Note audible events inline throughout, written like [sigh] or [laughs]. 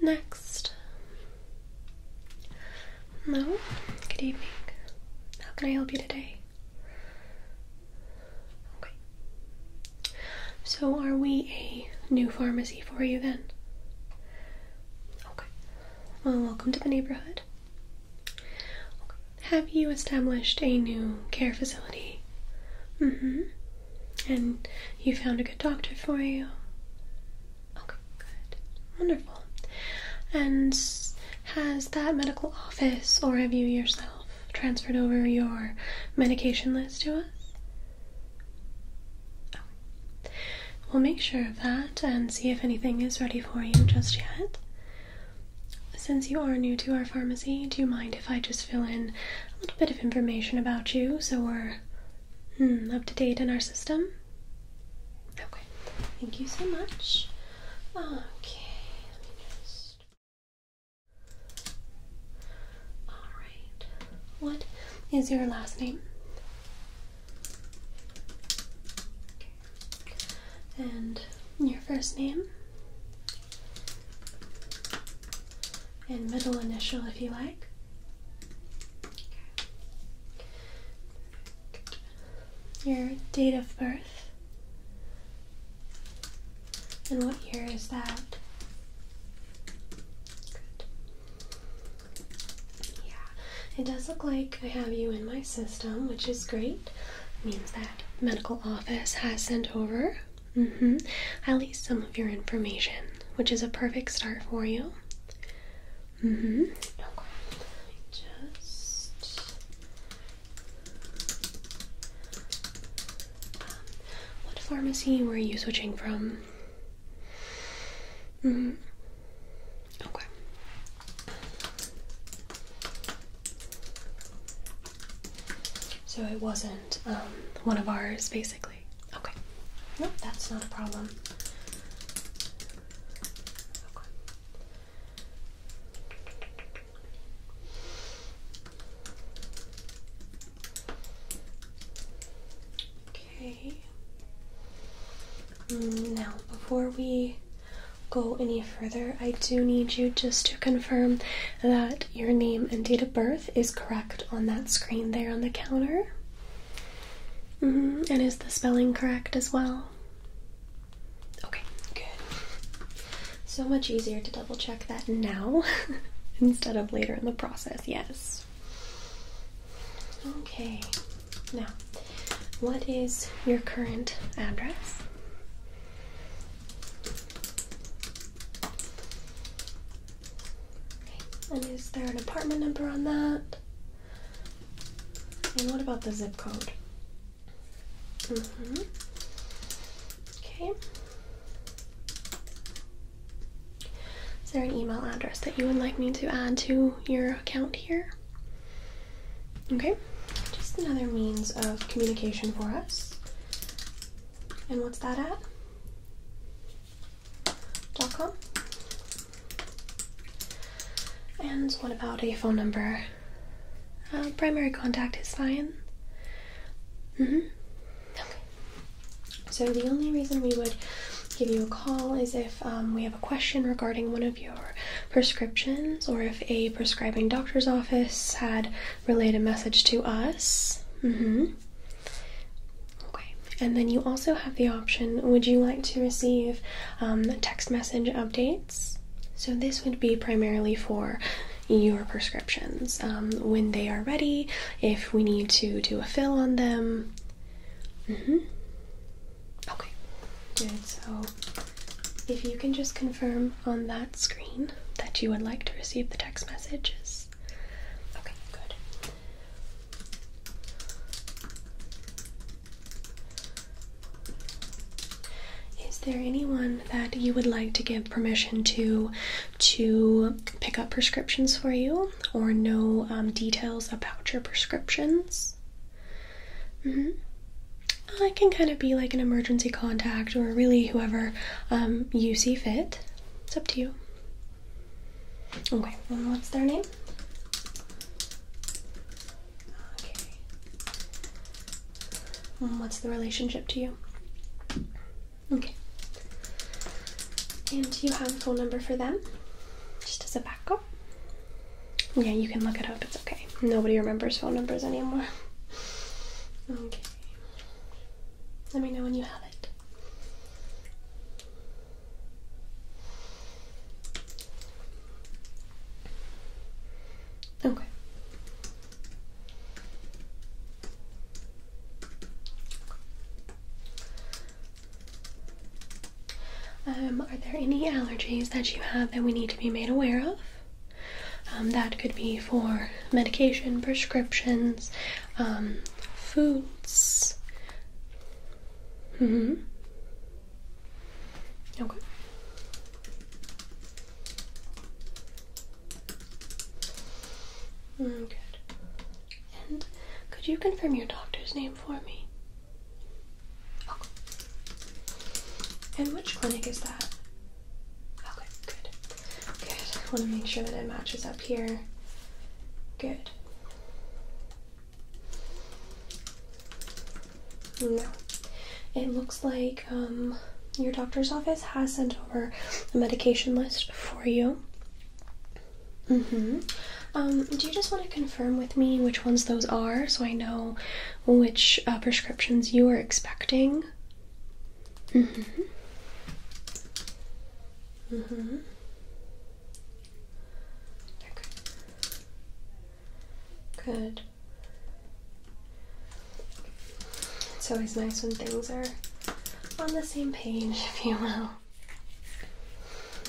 Next. Hello. Good evening. How can I help you today? Okay. So, are we a new pharmacy for you then? Okay. Well, welcome to the neighborhood. Have you established a new care facility? Mm hmm. And you found a good doctor for you? Okay, good. Wonderful. And has that medical office or have you yourself transferred over your medication list to us? Oh. We'll make sure of that and see if anything is ready for you just yet. Since you are new to our pharmacy, do you mind if I just fill in a little bit of information about you so we're hmm, up to date in our system? Okay, thank you so much. Okay, all right. What is your last name? And your first name? And middle initial if you like. Your date of birth and what year is that? Yeah, it does look like I have you in my system, which is great. It means that medical office has sent over mm -hmm, at least some of your information, which is a perfect start for you. Mm hmm what pharmacy were you switching from? Mm. Okay. So it wasn't um, one of ours, basically. Okay. Nope, that's not a problem. Okay. Mm, now, before we go any further, I do need you just to confirm that your name and date of birth is correct on that screen there on the counter. Mm-hmm. And is the spelling correct as well? Okay, good. So much easier to double check that now [laughs] instead of later in the process, yes. Okay, now what is your current address? And is there an apartment number on that? And what about the zip code? Mm-hmm. Okay. Is there an email address that you would like me to add to your account here? Okay, just another means of communication for us. And what's that at? Dot com. And what about a phone number? Uh, primary contact is fine. Mm-hmm. So the only reason we would give you a call is if um, we have a question regarding one of your prescriptions or if a prescribing doctor's office had relayed a message to us. Mm-hmm. Okay. And then you also have the option, would you like to receive um, text message updates? So this would be primarily for your prescriptions um, when they are ready, if we need to do a fill on them. Mm-hmm. Okay, good. So if you can just confirm on that screen that you would like to receive the text messages. Okay, good. Is there anyone that you would like to give permission to to pick up prescriptions for you or know um, details about your prescriptions? Mm -hmm. I can kind of be like an emergency contact or really whoever um, you see fit. It's up to you. Okay, what's their name? Okay. Um, what's the relationship to you? Okay. And do you have a phone number for them? Just as a backup? Yeah, you can look it up. It's okay. Nobody remembers phone numbers anymore. Okay. Let me know when you have it. Okay. Um, are there any allergies that you have that we need to be made aware of? Um, that could be for medication, prescriptions, um, foods. hmm. Okay. Mm, good. And could you confirm your doctor's name for me? Okay. And which clinic is that? Okay, good. Good. I want to make sure that it matches up here. Good. No. It looks like your doctor's office has sent over a medication list for you. Mm-hmm. Um, do you just want to confirm with me which ones those are so I know which uh, prescriptions you are expecting? Mm-hmm. Mm-hmm. Good. It's always nice when things are on the same page, [laughs] if you will.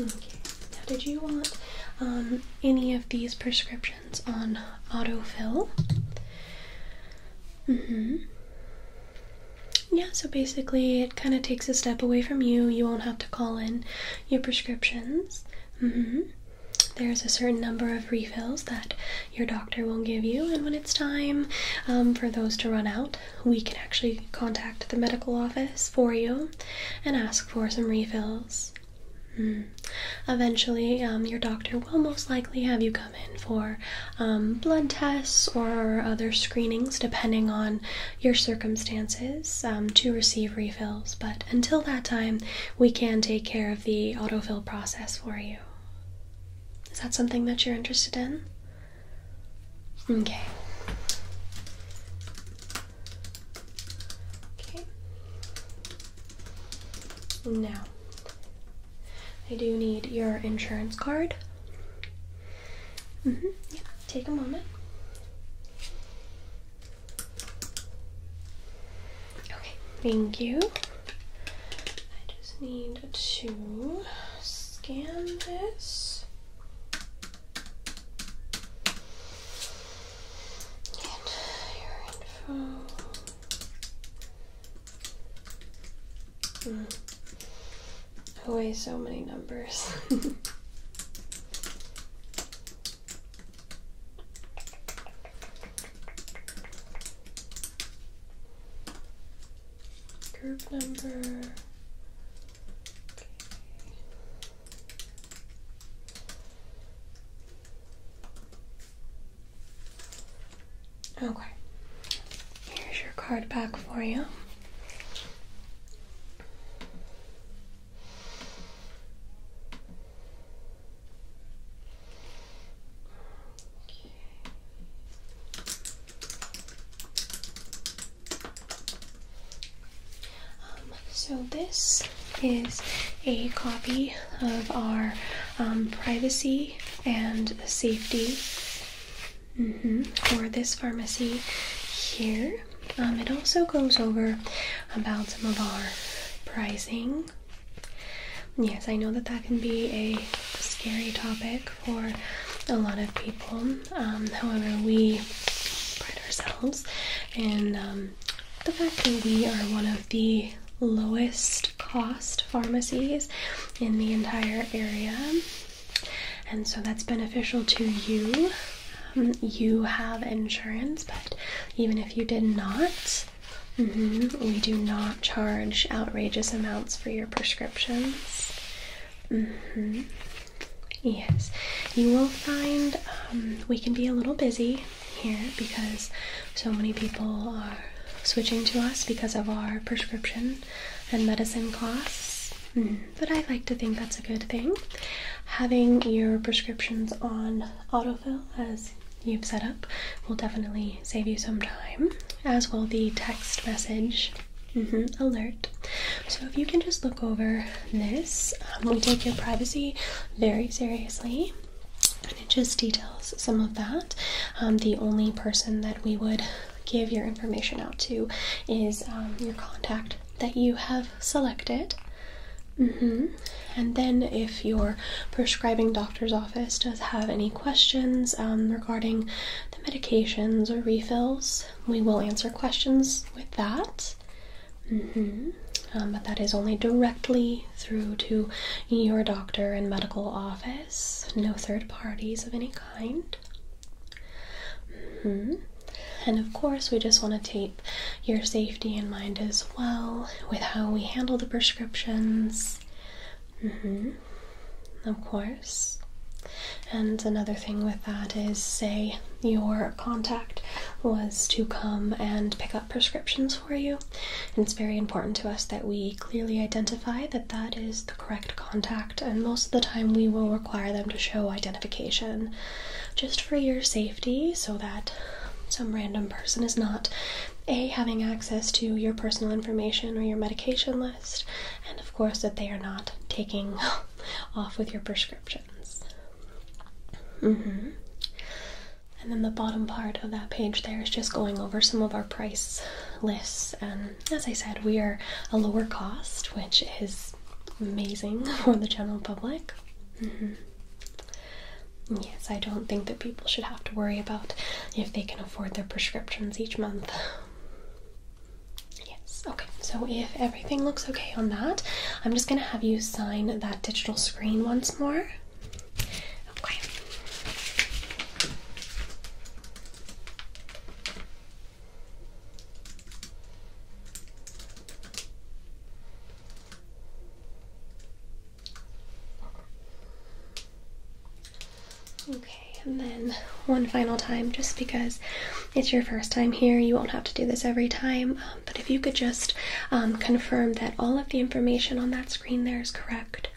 Okay, now did you want um, any of these prescriptions on autofill? Mm hmm. Yeah, so basically it kind of takes a step away from you. You won't have to call in your prescriptions. hmm. There's a certain number of refills that your doctor will give you, and when it's time um, for those to run out, we can actually contact the medical office for you and ask for some refills. Hmm. Eventually, um, your doctor will most likely have you come in for um, blood tests or other screenings, depending on your circumstances, to receive refills. But until that time, we can take care of the autofill process for you. Is that something that you're interested in? Okay. Okay. Now, I do need your insurance card. Mm-hmm. Yeah. Take a moment. Okay, thank you. I just need to scan this. And your info. Mm. so many numbers. [laughs] Group number. Okay. Okay. Here's your card back for you. Um, so this is a copy of our um, privacy and safety mm-hmm, for this pharmacy here. Um, it also goes over about some of our pricing Yes, I know that that can be a scary topic for a lot of people. Um, however, we pride ourselves in um, the fact that we are one of the lowest cost pharmacies in the entire area, and so that's beneficial to you. Um, you have insurance, but even if you did not, Mm-hmm. We do not charge outrageous amounts for your prescriptions. Mm-hmm. Yes, you will find um, we can be a little busy here because so many people are switching to us because of our prescription and medicine costs. Mm-hmm. But I like to think that's a good thing. Having your prescriptions on auto as you've set up will definitely save you some time, as will the text message mm-hmm, alert. So, if you can just look over this, we um, take your privacy very seriously. And it just details some of that. Um, the only person that we would give your information out to is um, your contact that you have have selected. Mm-hmm. And then, if your prescribing doctor's office does have any questions um, regarding the medications or refills, we will answer questions with that. Mm-hmm. Um, but that is only directly through to your doctor and medical office, no third parties of any kind. Mm-hmm. And of course, we just want to take your safety in mind as well with how we handle the prescriptions. Mm-hmm. Of course. And another thing with that is, say, your contact was to come and pick up prescriptions for you. And it's very important to us that we clearly identify that that is the correct contact, and most of the time we will require them to show identification just for your safety so that some random person is not a having access to your personal information or your medication list and of course that they are not taking [laughs] off with your prescriptions mm-hmm. and then the bottom part of that page there is just going over some of our price lists and as i said we are a lower cost which is amazing [laughs] for the general public mm-hmm. Yes, I don't think that people should have to worry about if they can afford their prescriptions each month. Yes, okay, so if everything looks okay on that, I'm just going to have you sign that digital screen once more. Okay. Okay, and then one final time, just because it's your first time here, you won't have to do this every time. Um, but if you could just um, confirm that all of the information on that screen there is correct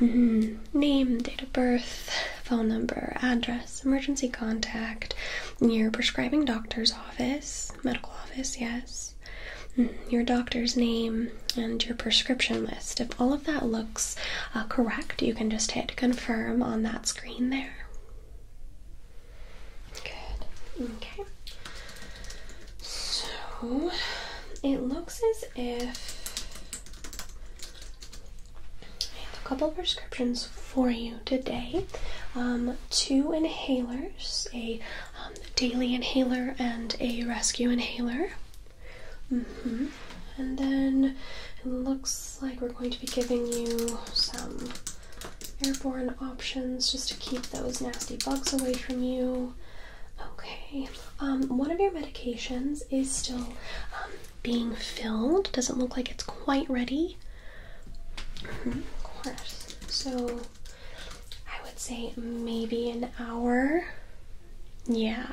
mm-hmm. name, date of birth, phone number, address, emergency contact, near prescribing doctor's office medical office, yes. Mm, your doctor's name and your prescription list. If all of that looks uh, correct, you can just hit confirm on that screen there. Good. Okay. So it looks as if I have a couple prescriptions for you today um, two inhalers a um, daily inhaler and a rescue inhaler mm-hmm. and then it looks like we're going to be giving you some airborne options just to keep those nasty bugs away from you okay um, one of your medications is still being filled doesn't look like it's quite ready of course. So I would say maybe an hour. Yeah.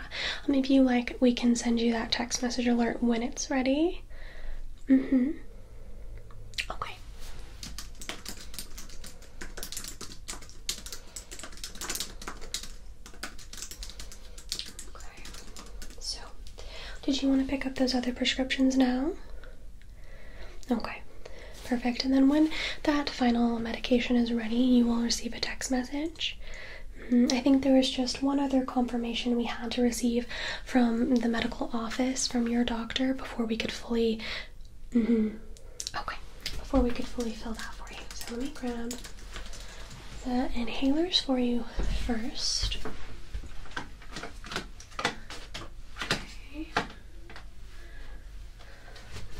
Maybe like we can send you that text message alert when it's ready. hmm Okay. Okay. So, did you want to pick up those other prescriptions now? Okay, perfect. And then when that final medication is ready, you will receive a text message. Mm, I think there was just one other confirmation we had to receive from the medical office from your doctor before we could fully. Mm-hmm, okay, before we could fully fill that for you. So let me grab the inhalers for you first.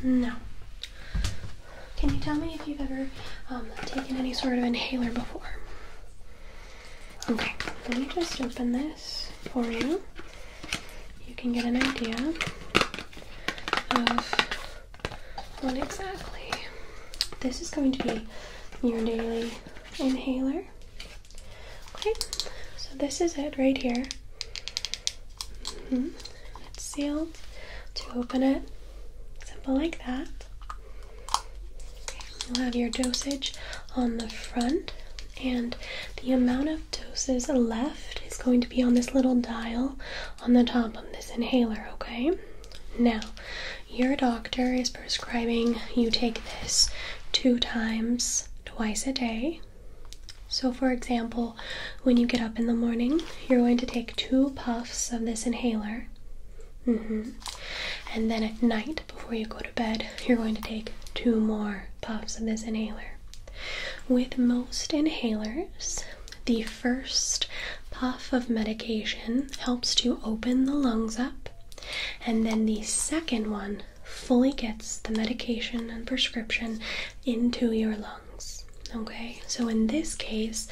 Okay. can you tell me if you've ever um, taken any sort of inhaler before? Okay, let me just open this for you. You can get an idea of what exactly. This is going to be your daily inhaler. Okay, so this is it right here. Mm-hmm. It's sealed. To open it, simple like that. you'll have your dosage on the front, and the amount of doses left is going to be on this little dial on the top of this inhaler, okay? Now, your doctor is prescribing you take this two times, twice a day. So, for example, when you get up in the morning, you're going to take two puffs of this inhaler. Mm-hmm. And then at night, before you go to bed, you're going to take two more puffs of this inhaler. With most inhalers, the first puff of medication helps to open the lungs up and then the second one fully gets the medication and prescription into your lungs. Okay, so in this case,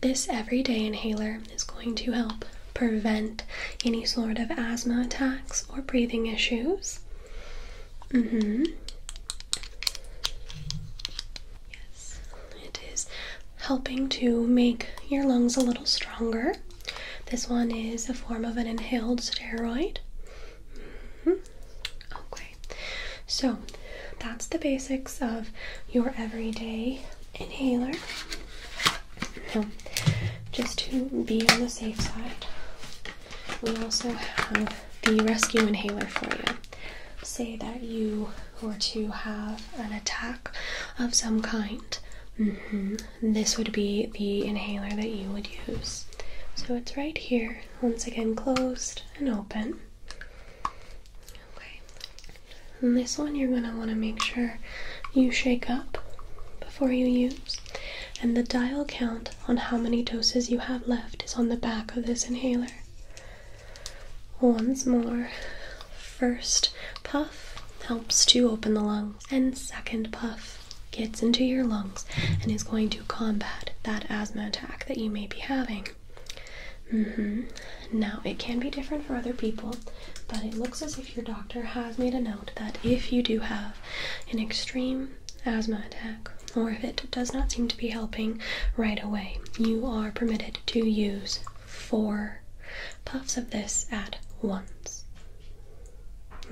this everyday inhaler is going to help prevent any sort of asthma attacks or breathing issues. Mm hmm. Yes, it is helping to make your lungs a little stronger. This one is a form of an inhaled steroid. Mm-hmm. Okay, so that's the basics of your everyday inhaler. Now, just to be on the safe side, we also have the rescue inhaler for you. Say that you were to have an attack of some kind. Mm-hmm. This would be the inhaler that you would use. So it's right here, once again closed and open. Okay. this one you're going to want to make sure you shake up before you use. And the dial count on how many doses you have left is on the back of this inhaler. Once more first puff helps to open the lungs, and second puff gets into your lungs and is going to combat that asthma attack that you may be having. Mm-hmm. Now, it can be different for other people, but it looks as if your doctor has made a note that if you do have an extreme asthma attack, or if it does not seem to be helping right away, you are permitted to use four puffs of this at once.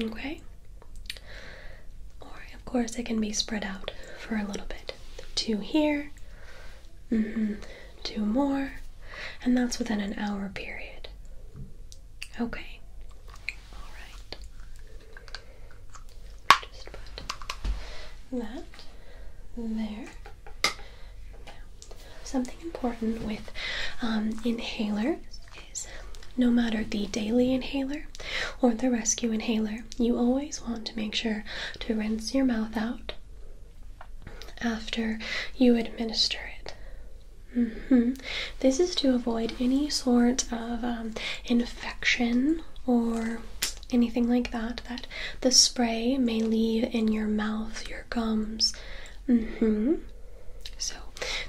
Okay? Or, of course, it can be spread out for a little bit. Two here, mm-hmm, two more, and that's within an hour period. Okay? Alright. Just put that there something important with um, inhalers is no matter the daily inhaler or the rescue inhaler, you always want to make sure to rinse your mouth out after you administer it. Mm-hmm. This is to avoid any sort of um, infection or anything like that that the spray may leave in your mouth, your gums, hmm So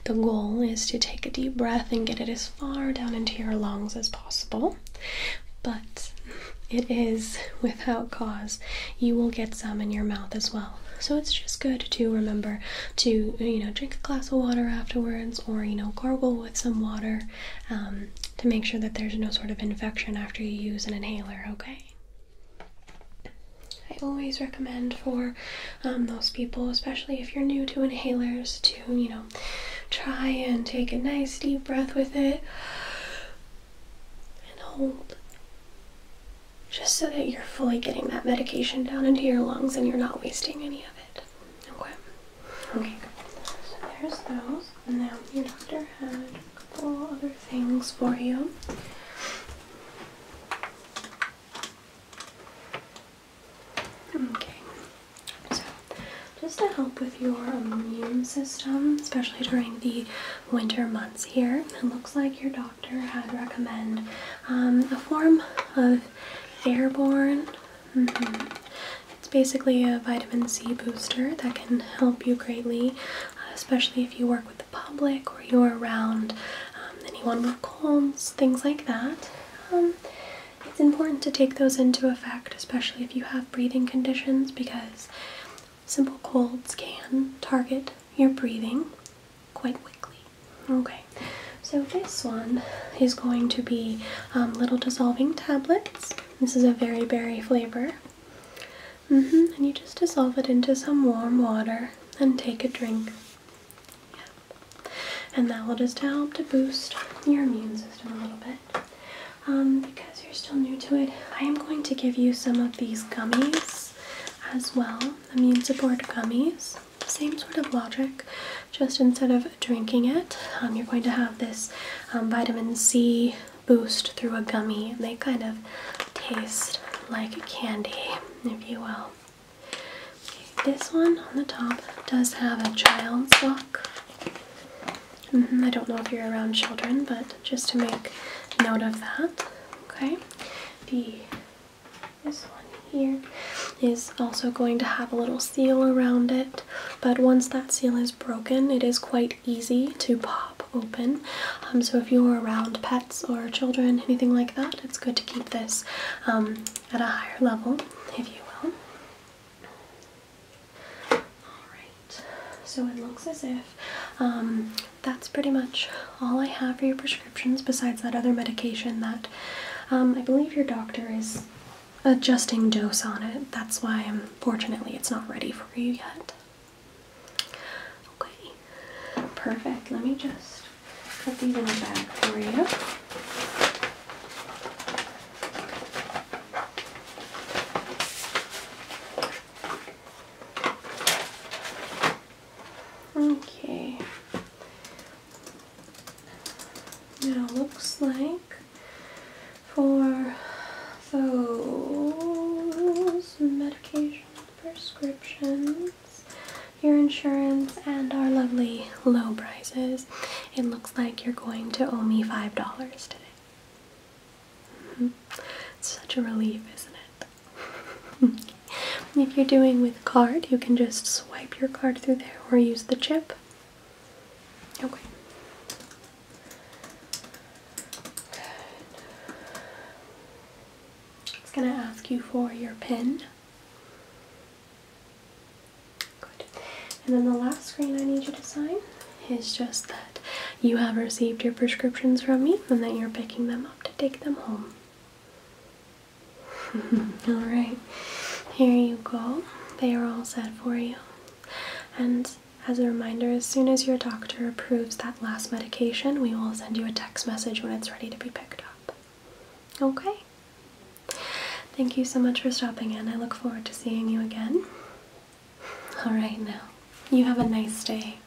the goal is to take a deep breath and get it as far down into your lungs as possible. But it is without cause. You will get some in your mouth as well. So it's just good to remember to, you know, drink a glass of water afterwards or, you know, gargle with some water um, to make sure that there's no sort of infection after you use an inhaler, okay? I always recommend for um, those people, especially if you're new to inhalers, to you know try and take a nice deep breath with it and hold just so that you're fully getting that medication down into your lungs and you're not wasting any of it. Okay. Okay. So there's those. And now your doctor had a couple other things for you. Okay, so just to help with your immune system, especially during the winter months here, it looks like your doctor had recommend um, a form of Airborne. Mm-hmm. It's basically a vitamin C booster that can help you greatly uh, especially if you work with the public or you're around um, anyone with colds, things like that. Um, it's important to take those into effect, especially if you have breathing conditions, because simple colds can target your breathing quite quickly. Okay, so this one is going to be um, little dissolving tablets. This is a very berry flavor. -hmm. And you just dissolve it into some warm water and take a drink. Yeah. And that will just help to boost your immune system a little bit. Um, because you're still new to it, I am going to give you some of these gummies as well. Immune support gummies. Same sort of logic, just instead of drinking it, um, you're going to have this um, vitamin C boost through a gummy. They kind of taste like candy, if you will. this one on the top does have a child's lock. Mm-hmm, I don't know if you're around children, but just to make note of that. Okay, the this one here is also going to have a little seal around it, but once that seal is broken, it is quite easy to pop open. Um, so if you're around pets or children, anything like that, it's good to keep this um, at a higher level, if you will. Alright, so it looks as if um, that's pretty much all I have for your prescriptions besides that other medication that I believe your doctor is adjusting dose on it. That's why, unfortunately, it's not ready for you yet. Okay, perfect. Let me just put these in the bag for you. Okay. Now looks like for those medication prescriptions, your insurance, and our lovely low prices, it looks like you're going to owe me $5 today. Mm-hmm. It's such a relief, isn't it? [laughs] if you're doing with card, you can just swipe your card through there or use the chip. Okay. Good. It's going to ask you for your PIN. Good. And then the last screen I need you to sign is just that you have received your prescriptions from me and that you're picking them up to take them home. [laughs] Alright, here you go. They are all set for you. And as a reminder, as soon as your doctor approves that last medication, we will send you a text message when it's ready to be picked up. Okay? Thank you so much for stopping in. I look forward to seeing you again. Alright, now, you have a nice day.